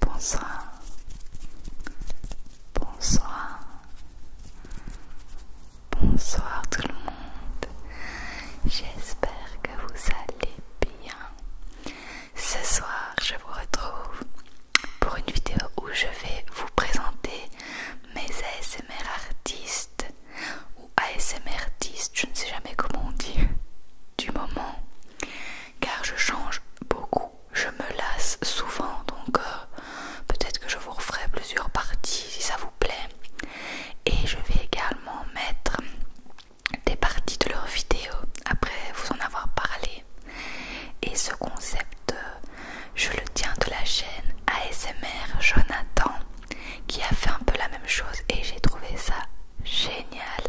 Bonsoir. Bonsoir. Bonsoir tout le monde. J'espère que vous allez bien. Ce soir, je vous retrouve pour une vidéo où je vais vous présenter mes ASMR artistes ou ASMR 10, je ne sais jamais comment on dit, du moment, car je change beaucoup, je me lasse souvent, donc euh, peut-être que je vous referai plusieurs parties si ça vous plaît. Et je vais également mettre des parties de leurs vidéos après vous en avoir parlé. Et ce concept, euh, je le tiens de la chaîne ASMR Jonathan qui a fait un peu la même chose et j'ai trouvé ça génial,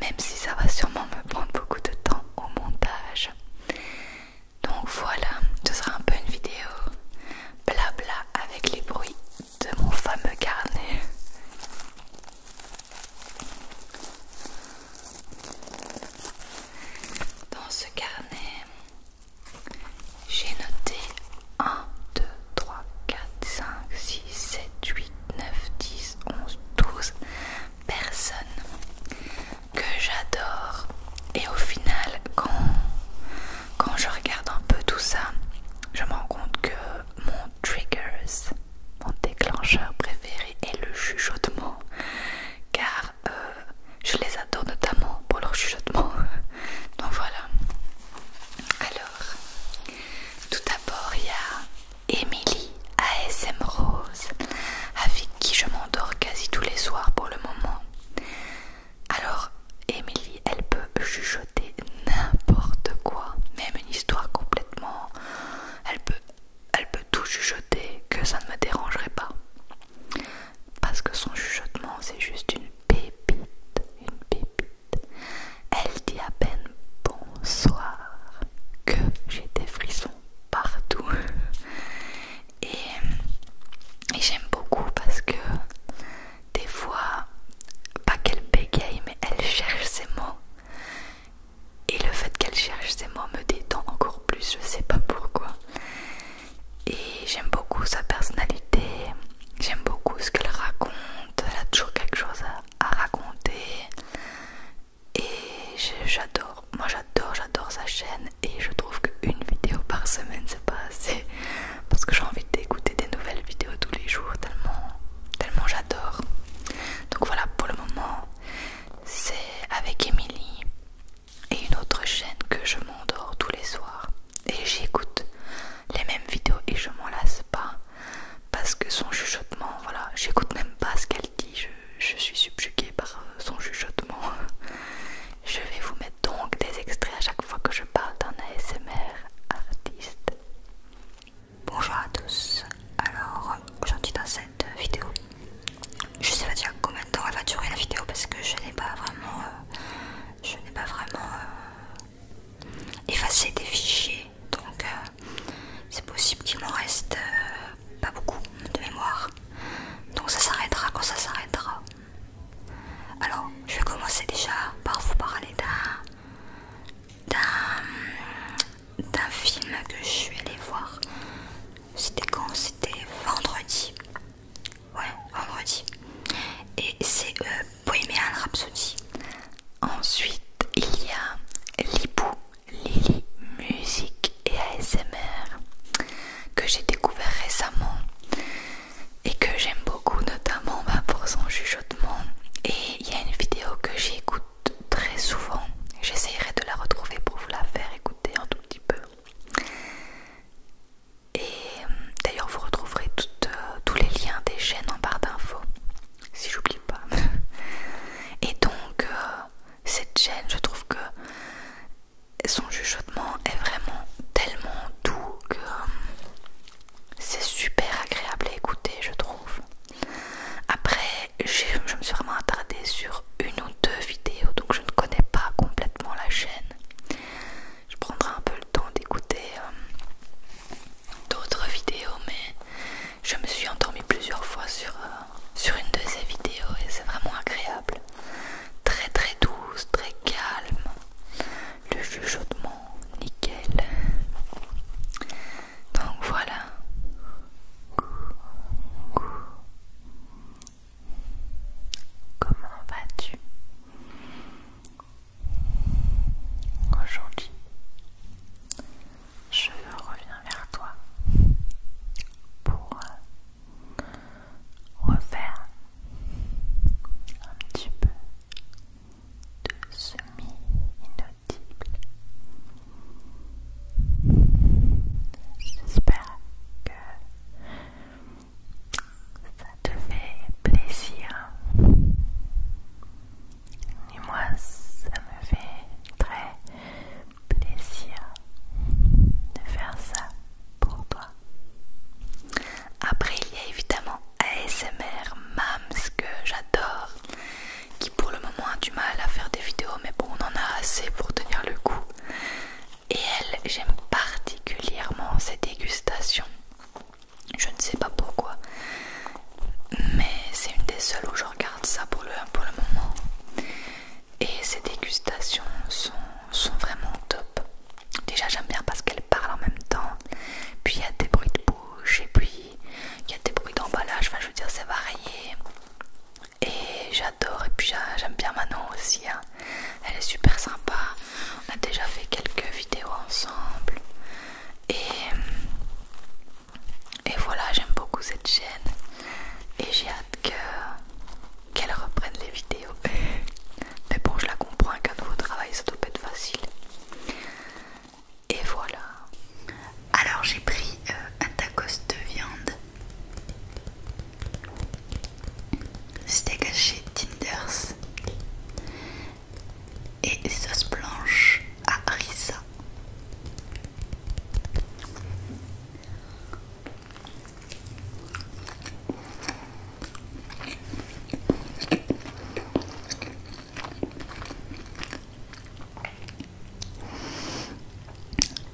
même si ça va sûrement me prendre beaucoup de temps au montage. Donc voilà, ce sera un peu une vidéo blabla avec les bruits de mon fameux carnet. Dans ce carnet, j'ai noté 1, 2, 3, 4, 5, 6, 7, 8, 9, 10, 11, 12 personnes que j'adore. Et au final, quand, quand je regarde un peu tout ça, je me rends compte que mon trigger, mon déclencheur préféré est le chuchotement. Car euh, je les adore notamment pour leur chuchotement. Donc voilà. Alors tout d'abord, il y a Émilie ASM Rose, avec qui je m'endors quasi tous les soirs pour le moment. Alors, Emily, elle peut chuchoter n'importe quoi, même une histoire complètement. Elle peut, elle peut tout chuchoter que ça ne me dérangerait pas. Parce que son chuchotement, c'est juste une pépite, une pépite. Elle dit à peine bonsoir que j'ai des frissons partout. Et, j'aime beaucoup parce que des fois, pas qu'elle bégaye, mais elle cherche ses mots. Et le fait qu'elle cherche ses mots me détend encore plus, je sais pas pourquoi. Et j'aime beaucoup sa personnalité, J'aime beaucoup ce qu'elle raconte, elle a toujours quelque chose à, raconter et j'adore, moi j'adore, j'adore sa chaîne et je trouve qu'une vidéo par semaine c'est pas assez parce que j'ai envie d'écouter des nouvelles vidéos tous les jours tellement, tellement j'adore. Donc voilà pour le moment c'est avec Emily et une autre chaîne que je m'endors tous les soirs et j'écoute les mêmes vidéos et je m'en lasse pas parce que son chuchotement, voilà, j'écoute même pas ce qu'elle dit, je, suis subjuguée par euh, son chuchotement. Je vais vous mettre donc des extraits à chaque fois que je parle d'un ASMR artiste. Bonjour à tous, alors aujourd'hui dans cette vidéo, je sais pas dire combien de temps elle va durer la vidéo parce que je n'ai pas vraiment, euh, je n'ai pas vraiment euh, effacer des fichiers. Donc euh, c'est possible qu'il m'en reste euh, pas beaucoup de mémoire. Donc ça s'arrêtera quand ça s'arrêtera. Alors je vais commencer déjà par vous parler d'un d'un film que je suis allée voir. C'était quand C'était vendredi. Ouais, vendredi. Et c'est euh, Bohemian Rhapsody. Ensuite, il y a Lipou, Lily, musique et ASMR que j'ai découvert récemment et que j'aime beaucoup, notamment bah, pour son chuchotement. Et il y a une vidéo que j'écoute très souvent. j'essaierai de la retrouver pour vous la faire écouter un tout petit peu. Et euh, d'ailleurs, vous retrouverez euh, tous les liens des chaînes en barre d'infos, si j'oublie pas. Et donc, euh, cette chaîne, je trouve que son juchotement est vraiment tellement doux que c'est super agréable à écouter, je trouve. Après, je me suis vraiment attardée sur une ou deux vidéos, donc je ne connais pas complètement la chaîne je prendrai un peu le temps d'écouter euh, d'autres vidéos mais je me suis endormie plusieurs fois sur, euh, sur une de ces vidéos et c'est vraiment agréable très très douce, très calme le chuchotement nickel donc voilà Comment vas-tu Aujourd'hui, je reviens vers toi pour euh, refaire un petit peu de semi-inaudible. J'espère que ça te fait plaisir. Et moi, ça me fait très plaisir de faire ça pour toi. Après, il y a évidemment ASMR Mams que j'adore, qui pour le moment a du mal à faire des vidéos, mais bon, on en a assez pour tenir le coup. Et elle, j'aime particulièrement ses dégustations. Je ne sais pas pourquoi, mais c'est une des seules où je regarde ça pour le, moment. Et ces dégustations sont, vraiment top. Déjà, j'aime bien parce qu'elle parle en même temps, puis il y a des bruits de bouche, et puis il y a des bruits d'emballage. Enfin, je veux dire, c'est varié. Et j'adore, et puis j'aime bien Manon aussi. Hein. Elle est super sympa. On a déjà fait quelques vidéos ensemble. Et, et voilà, j'aime beaucoup cette chaîne. Et j'ai hâte que qu'elle reprenne les vidéos. Mais bon, je la comprends qu'un nouveau travail, ça doit pas être facile. Et voilà. Alors j'ai pris euh, un tacos de viande c'était caché Tinders et sauce blanche à risa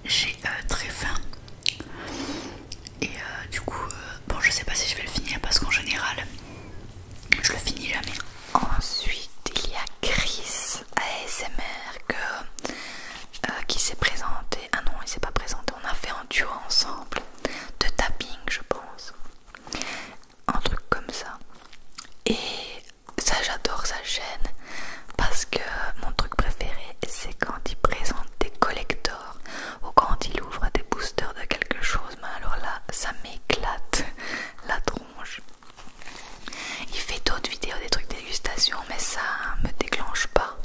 J'ai euh, très faim et euh, du coup, euh, bon, je sais pas si je vais le finir parce qu'en général, je le finis jamais. Ensuite, il y a Chris ASMR euh, qui s'est présenté. Ah non, il s'est pas présenté. On a fait un duo ensemble de tapping, je pense. Un truc comme ça. Et ça, j'adore sa chaîne parce que mon truc préféré, c'est quand il présente des collecteurs ou quand il ouvre des boosters de quelque chose, mais alors là, ça m'éclate la tronche. Il fait d'autres vidéos des trucs dégustation, mais ça me déclenche pas.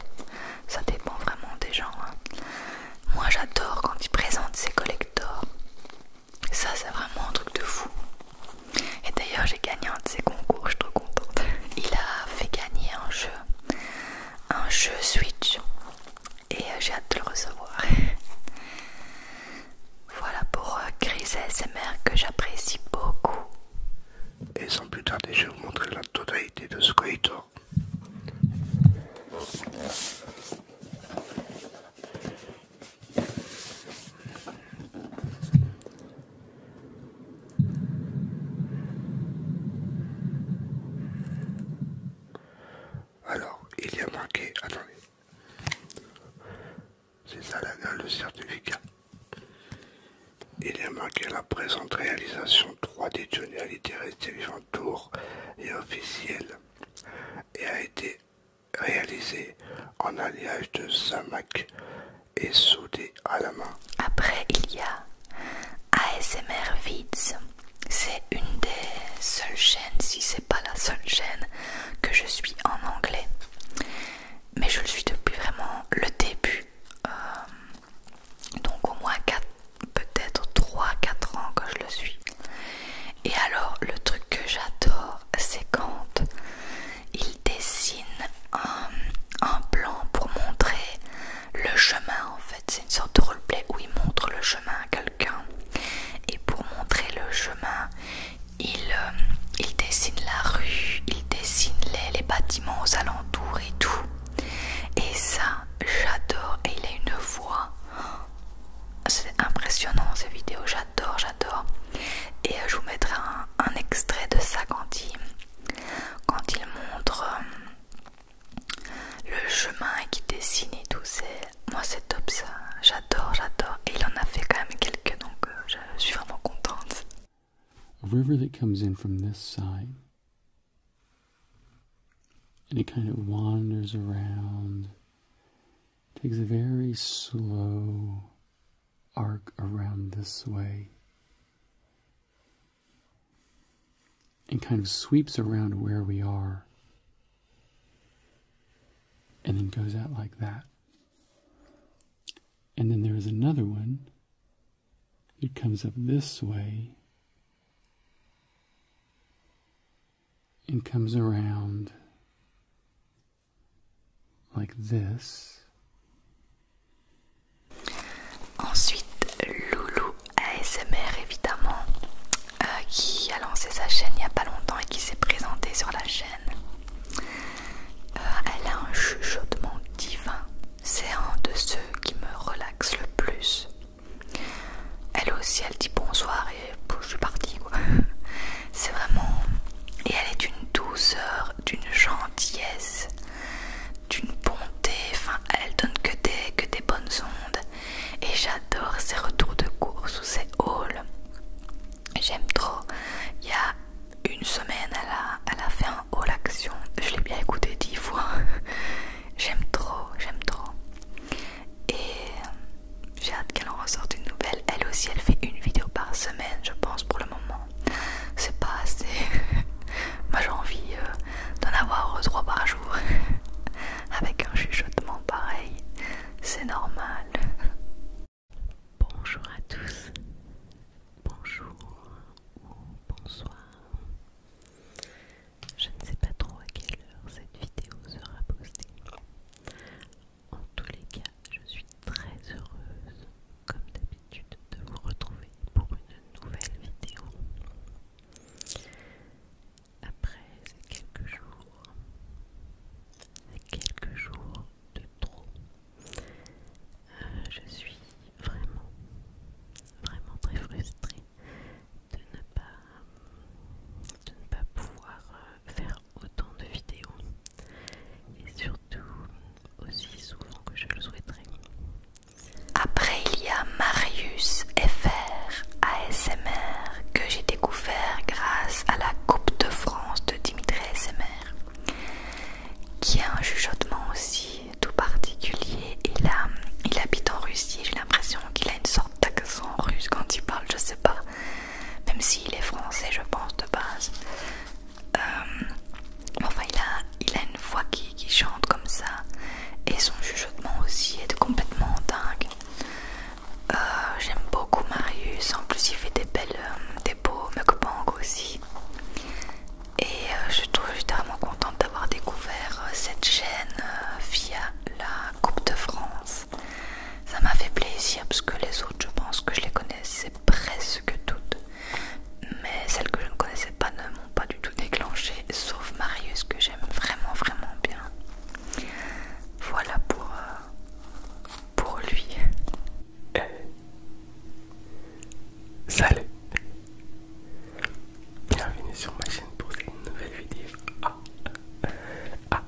Ça dépend vraiment des gens. Hein. Moi j'adore quand il présente ses collectors. Ça c'est vraiment un truc de fou. Et d'ailleurs j'ai gagné un de ses concours, je suis trop contente. Il a fait gagner un jeu un jeu Switch et euh, j'ai hâte de le recevoir. voilà pour euh, Chris ASMR que j'apprécie beaucoup. Et sans plus tarder, je vais vous montrer la totalité de ce alors, il y a marqué, attendez, c'est ça là, le certificat. Il y a marqué la présente réalisation 3D Johnny à vivant tour et officielle et a été réalisé en alliage de Samac et Soudé. Après, il y a ASMR Vids. C'est une des seules chaînes, si c'est pas la seule chaîne, que je suis en anglais. Mais je le suis depuis vraiment le début. Euh, donc au moins peut-être 3-4 ans que je le suis. Et alors le truc que j'adore c'est quand il dessine un plan pour montrer le chemin en fait. C'est une sorte de roleplay où il montre le chemin à quelqu'un. Et pour montrer le chemin, il, euh, dessine la rue, il dessine les, bâtiments aux alentours et tout. Et ça, j'adore. Et il a une voix. C'est impressionnant ces vidéos, j'adore, j'adore. Et euh, je vous mettrai un, extrait de ça quand il, montre euh, le chemin qui dessine et tout, c'est. Moi, c'est top ça. J'adore, j'adore. Et il en a fait quand même quelques, donc euh, je suis vraiment contente. A river that comes in from this side. And it kind of wanders around, takes a very slow arc around this way, and kind of sweeps around where we are and then goes out like that. And then there is another one It comes up this way and comes around like this Ensuite, Loulou ASMR évidemment, euh, qui a lancé sa chaîne il n'y a pas longtemps et qui s'est présentée sur la chaîne. Euh, elle a un chuchotement divin, c'est un de ceux qui me relaxent le plus. Elle aussi, elle dit bonsoir et je suis partie C'est vraiment. Et elle est d'une douceur, d'une gentillesse d'une bonté, enfin elle donne que des, que des bonnes ondes et j'adore ses retours de course ou ses hauls. J'aime trop. Il y a une semaine, elle a, elle a fait un haul action. Je l'ai bien écouté dix fois. j'aime trop, j'aime trop. Et euh, j'ai hâte qu'elle en ressorte une nouvelle. Elle aussi, elle fait une vidéo par semaine, je pense, pour le moment c'est pas assez. Moi j'ai envie euh, d'en avoir trois par jour avec un chuchotement pareil, c'est normal. Bonjour à tous, bonjour ou bonsoir. Je ne sais pas trop à quelle heure cette vidéo sera postée. En tous les cas, je suis très heureuse comme d'habitude de vous retrouver pour une nouvelle vidéo. Après ces quelques jours, ces quelques jours de trop, euh, je suis vraiment, vraiment très frustrée de ne pas, de ne pas pouvoir euh, faire autant de vidéos et surtout aussi souvent que je le souhaiterais. Après, il y a Marius FR ASMR que j'ai découvert grâce à la Coupe de France de Dimitri ASMR qui a un chuchotement aussi tout particulier. Il, il habite en Russie, j'ai l'impression qu'il a une sorte d'accent russe quand il parle, je sais pas, même s'il est français, je pense de base. Euh, enfin, il a, une voix qui, chante comme ça, et son chuchotement aussi est complètement dingue. Euh, j'aime beaucoup Marius, en plus il fait des belles, euh, des beaux mukbangs aussi. Et je trouve vraiment contente d'avoir découvert cette chaîne via la Coupe de France. Ça m'a fait plaisir parce que les autres, je pense que je les connaissais presque toutes mais celles que je ne connaissais pas ne m'ont pas du tout déclenché, sauf Marius que j'aime vraiment vraiment bien. Voilà pour, euh, pour lui. Eh. Salut Bienvenue sur ma chaîne pour cette nouvelle vidéo. Ah, ah, ah,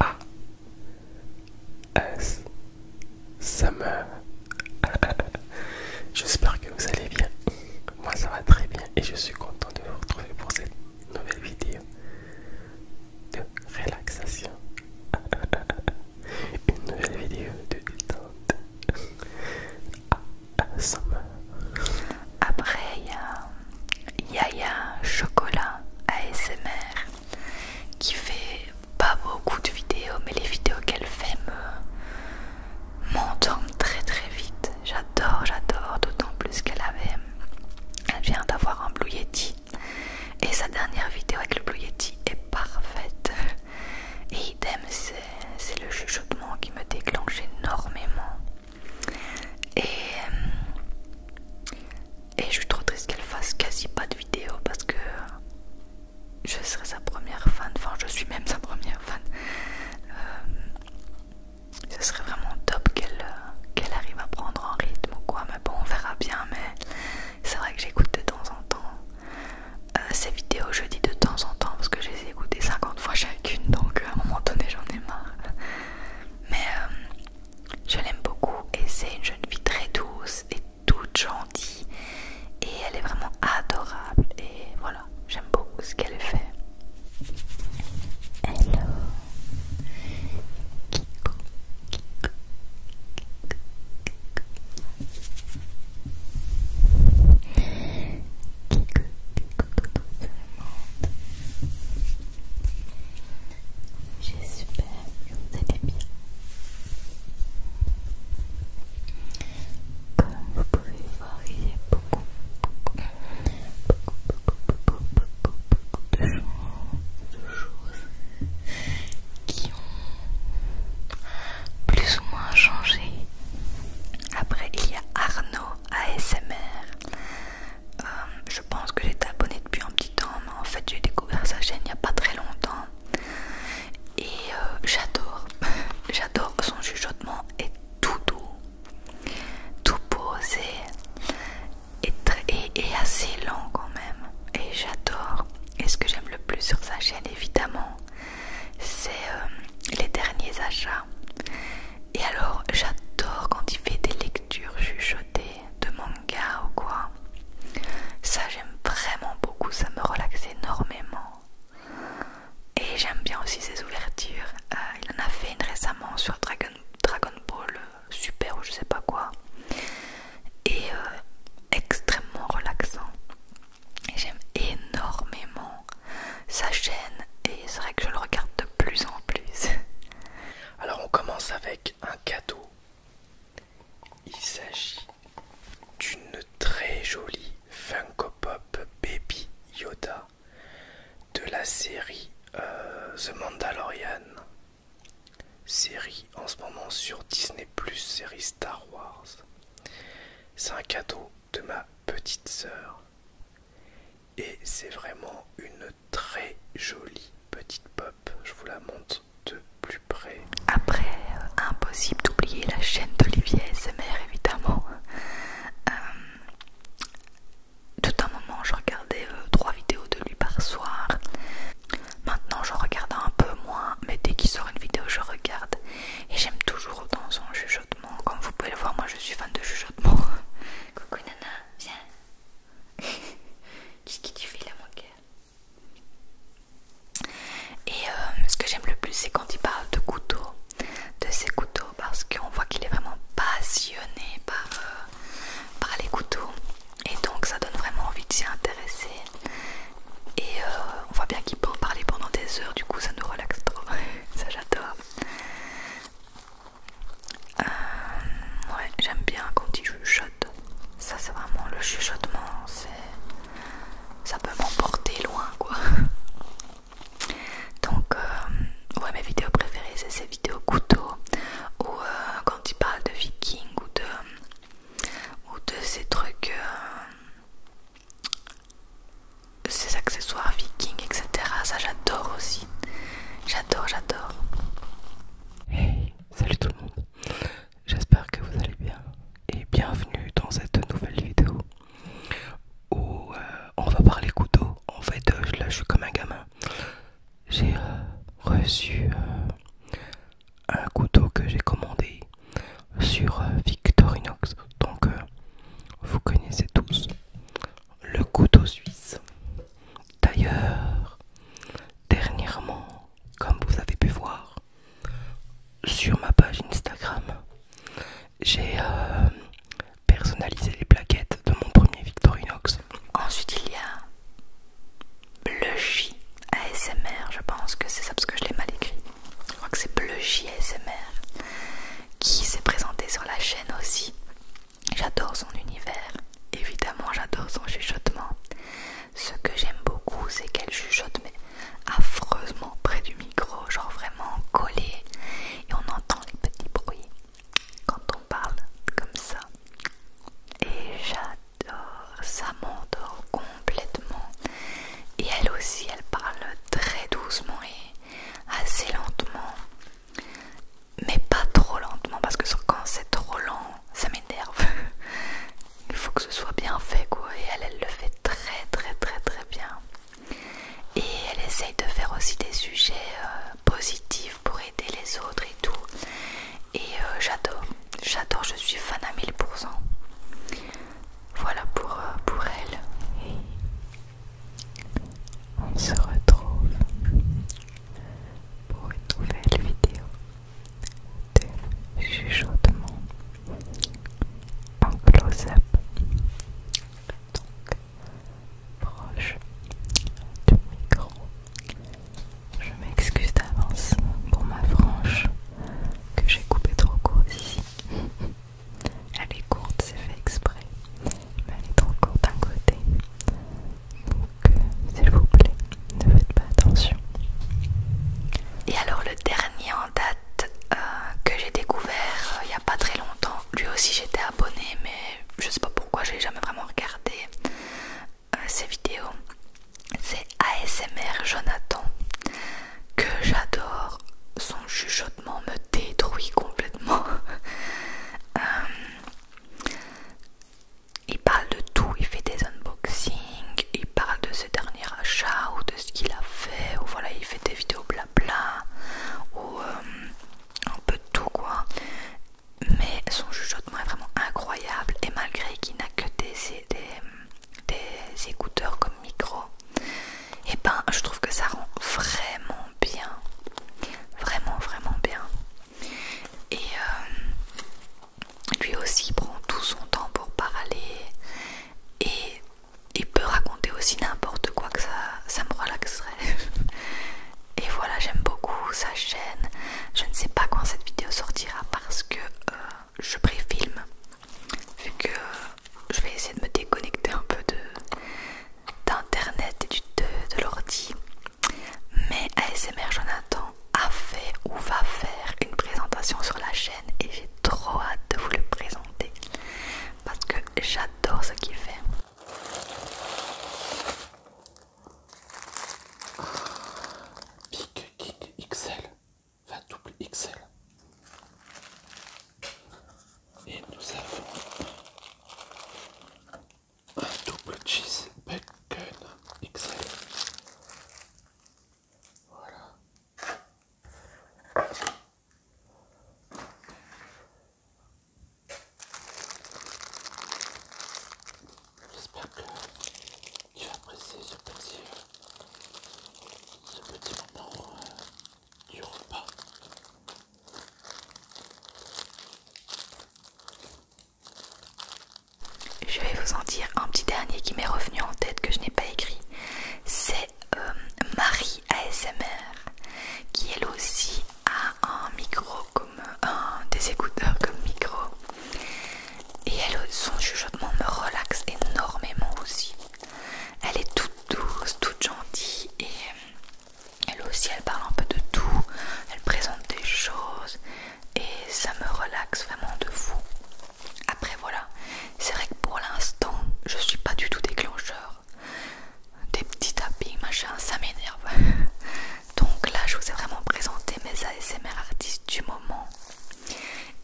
ah. As Summer. J'espère que vous allez bien. Moi ça va très bien et je suis content de vous retrouver pour cette nouvelle vidéo de relaxation. Une nouvelle vidéo de détente. Summer. Après il y a Yaya Chocolat ASMR qui fait pas beaucoup de vidéos, mais les vidéos qu'elle fait me montent très très vite. J'adore, j'adore, d'autant plus qu'elle avait, elle vient d'avoir un Blue Yeti et sa dernière vidéo avec le Blue Yeti est parfaite. Et idem, c'est le chuchotement qui me déclenche énormément. Et et je suis trop triste qu'elle fasse quasi pas de vidéos, parce que je serais sa première fan. Enfin, je suis même sa première fan. Euh, ce serait vraiment top qu'elle euh, qu'elle arrive à prendre en rythme ou quoi. Mais bon, on verra bien. Mais c'est vrai que j'écoute de temps en temps euh, ses ces vidéos. Je dis de temps en temps parce que je les ai écoutées 50 fois chacune. Donc à un moment donné, j'en ai marre. Mais je l'aime beaucoup et c'est une jeune fille très douce toute gentille et elle est vraiment adorable et voilà, j'aime beaucoup ce qu'elle fait. Hello J'espère que vous allez bien. Comme vous pouvez voir, il y a beaucoup, beaucoup, beaucoup, beaucoup, beaucoup, de choses, de choses qui ont plus ou moins changé. Après, il y a Arnaud ASMR. Euh, je pense que j'ai abonné depuis un petit mais en fait j'ai découvert sa chaîne il n'y a pas très longtemps et euh, j'adore, j'adore son chuchotement est tout doux, tout posé et, et, assez lent quand même et j'adore. Et ce que j'aime le plus sur sa chaîne évidemment, c'est euh, les derniers achats. Et alors j'adore quand il fait des lectures chuchotées de manga ou quoi. Ça j'aime vraiment beaucoup, ça me relaxe énormément. Et j'aime bien aussi ses ouvertures. Euh, il en a fait une récemment sur Dragon, Ball euh, Super ou je sais pas quoi. Et euh, extrêmement relaxant. Et j'aime énormément sa chaîne et c'est vrai que je le regarde de plus en plus. Alors on commence avec un cadeau il s'agit d'une très jolie Funko Pop Baby Yoda de la série euh, The Mandalorian. Série en ce moment sur Disney Plus, série Star Wars. C'est un cadeau de ma petite sœur. Et c'est vraiment une très jolie petite pop. Je vous la montre de plus près. Après, euh, impossible d'oublier la chaîne d'Olivier mère évidemment. Euh, tout un moment, je regardais euh, trois vidéos de lui par soir. Maintenant, j'en regarde un peu moins, mais dès qu'il sort une vidéo, je regarde. Et j'aime toujours autant son chuchotement. Comme vous pouvez le voir, moi je suis fan de chuchotement. Coucou Nana, viens. Qu'est-ce que tu fais là, mon et euh, ce que j'aime le plus, c'est quand il parle de couteaux, de ses couteaux, parce qu'on voit qu'il est vraiment passionné euh, par, les couteaux. Et donc ça donne vraiment envie de s'y intéresser. Et euh, on voit bien qu'il peut en parler pendant des heures, du coup ça nous relaxe trop. ça j'adore. ouais, j'aime bien quand il chuchote ça, c'est vraiment le chuchotement, ça peut m'emporter loin quoi. Donc, euh, ouais, mes vidéos préférées, c'est ces vidéos couteaux ou euh, quand ils parlent de viking ou de, ou de ces trucs, euh, ces accessoires viking etc. Ça, j'adore aussi. J'adore, j'adore salut tout le monde, j'espère que vous allez bien et bienvenue dans cette nouvelle vidéo où euh, on va parler couteau. En fait, euh, là je suis comme un gamin, j'ai euh, reçu un couteau que j'ai commandé sur Victorinox, donc vous connaissez tous le couteau suisse. D'ailleurs, dernièrement, comme vous avez pu voir sur ma page Instagram, j'ai euh, personnalisé les plaquettes de mon premier Victorinox. Ensuite, il y a J ASMR, je pense que c'est ça parce que je l'ai mal écrit. Je crois que c'est J ASMR qui s'est présenté sur la chaîne aussi. J'adore son univers, évidemment j'adore son chuchotement. Ce que j'aime beaucoup c'est qu'elle chuchote mais affreusement près du micro, genre vraiment collé et on entend les petits bruits quand on parle comme ça. Et j'adore, ça m'endort complètement. Et elle aussi, elle parle très doucement et assez lentement mais pas trop lentement parce que quand c'est trop lent, ça m'énerve. Il faut que ce soit bien fait quoi. Et elle, elle le fait très très très très bien. Et elle essaye de faire aussi des sujets euh, positifs pour aider les autres et tout. Et euh, j'adore, j'adore, je suis fan à 1000%. Voilà pour, euh, pour elle. on se retrouve pour une nouvelle vidéo de chuchotement en close-up donc proche du micro je m'excuse d'avance pour ma frange que j'ai coupée trop courte ici elle est courte c'est fait exprès mais elle est trop courte d'un côté donc, euh, s'il vous plaît, ne faites pas attention. Et alors, le dernier en date euh, que j'ai découvert euh, il n'y a pas très longtemps, lui aussi j'étais abonné, mais je sais pas pourquoi, j'ai jamais vraiment regardé ses vidéos. C'est ASMR Jonathan que j'adore. Son chuchotement me détruit complètement. il parle de tout, il fait des unboxing, il parle de ses derniers achats ou de ce qu'il a fait, ou voilà, il fait des vidéos blabla, ou euh, un peu de tout quoi. Mais son chuchotement est vraiment incroyable et malgré qu'il n'a que des, des écouteurs comme micro, et eh ben je trouve que ça rend vraiment bien, vraiment vraiment bien. Et euh, lui aussi prend tout son temps pour parler et il peut raconter aussi n'importe quoi que ça, me relaxerait. et voilà, j'aime beaucoup sa chaîne. Je ne sais pas quand cette vidéo sortira parce que euh, je préfilme vu que je vais essayer de me déconnecter un peu de d'internet et du, de l'ordi mais ASMR Jonathan a fait ou va faire une présentation sur la chaîne et j'ai trop hâte de vous le présenter parce que j'adore ce qu'il fait. Big kick, XL, enfin double XL. Et nous avons un double cheese bacon XL. Voilà. J'espère que tu vas apprécier ce petit, ce petit moment euh, du repas. Je vais vous en dire un petit dernier qui m'est revenu en tête que je n'ai pas écrit. C'est euh, Marie ASMR qui elle aussi a un micro comme des écouteurs comme micro. Et son chuchotement me relaxe énormément aussi. Elle est toute douce, toute gentille et elle aussi, elle parle un peu de tout, elle présente des choses et ça me relaxe vraiment de fou. Après voilà, c'est vrai que pour l'instant, je suis pas du tout déclencheur. Des petits tapis machin, ça m'énerve. Donc là, je vous ai vraiment présenté mes ASMR artistes du moment.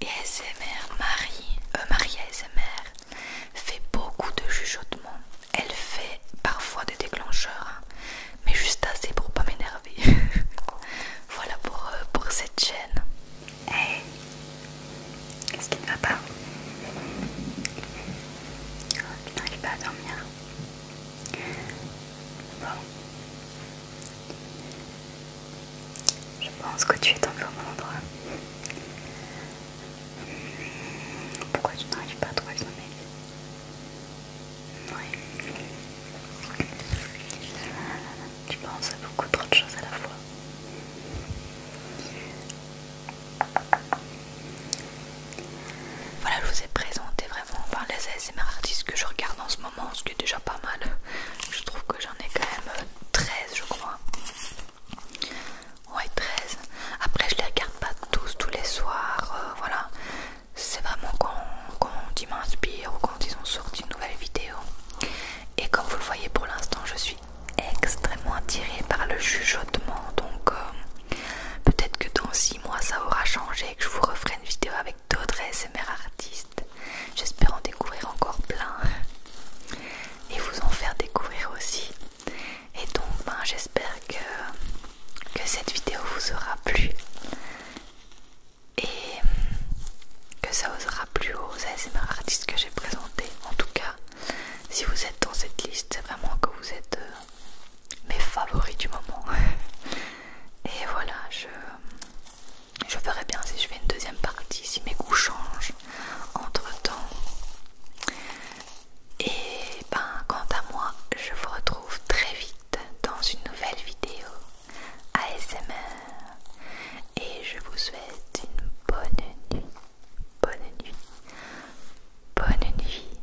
Et ASMR Marie, euh, Marie ASMR fait beaucoup de chuchotements elle fait parfois des déclencheurs, hein. mais juste assez pour pas m'énerver. voilà pour, euh, pour cette chaîne. Hey, qu'est-ce qui ne va pas oh, Tu n'arrives pas à dormir. Bon, je pense que tu es dans au bon endroit. Hmm, pourquoi tu n'arrives pas à te le oui. Tu penses à beaucoup trop de choses à la fois. Voilà, je vous ai présenté vraiment par les SMR artistes que je regarde en ce moment, ce qui est déjà pas mal. Je trouve que j'en ai quand même 13, je crois ouais 13 après je les regarde pas tous tous les soirs euh, voilà c'est vraiment quand, quand ils m'inspirent ou quand ils ont sorti une nouvelle vidéo et comme vous le voyez pour l'instant je suis extrêmement attirée par le chuchotement donc euh, peut-être que dans 6 mois ça aura changé et que je vous referai une vidéo avec d'autres SMR artistes j'espère en découvrir encore plein et vous en faire découvrir aussi et donc ben, j'espère que, cette vidéo vous aura plu et que ça vous aura plu aux ASMR artistes que j'ai présentés. En tout cas, si vous êtes dans cette liste, c'est vraiment que vous êtes euh, mes favoris du moment. et voilà, je, je verrai bien si je fais une deuxième partie, si mes goûts changent entre temps. Et ben, quant à moi, je vous retrouve très vite dans une nouvelle vidéo ASMR. Et je vous souhaite une bonne nuit. Bonne nuit. Bonne nuit.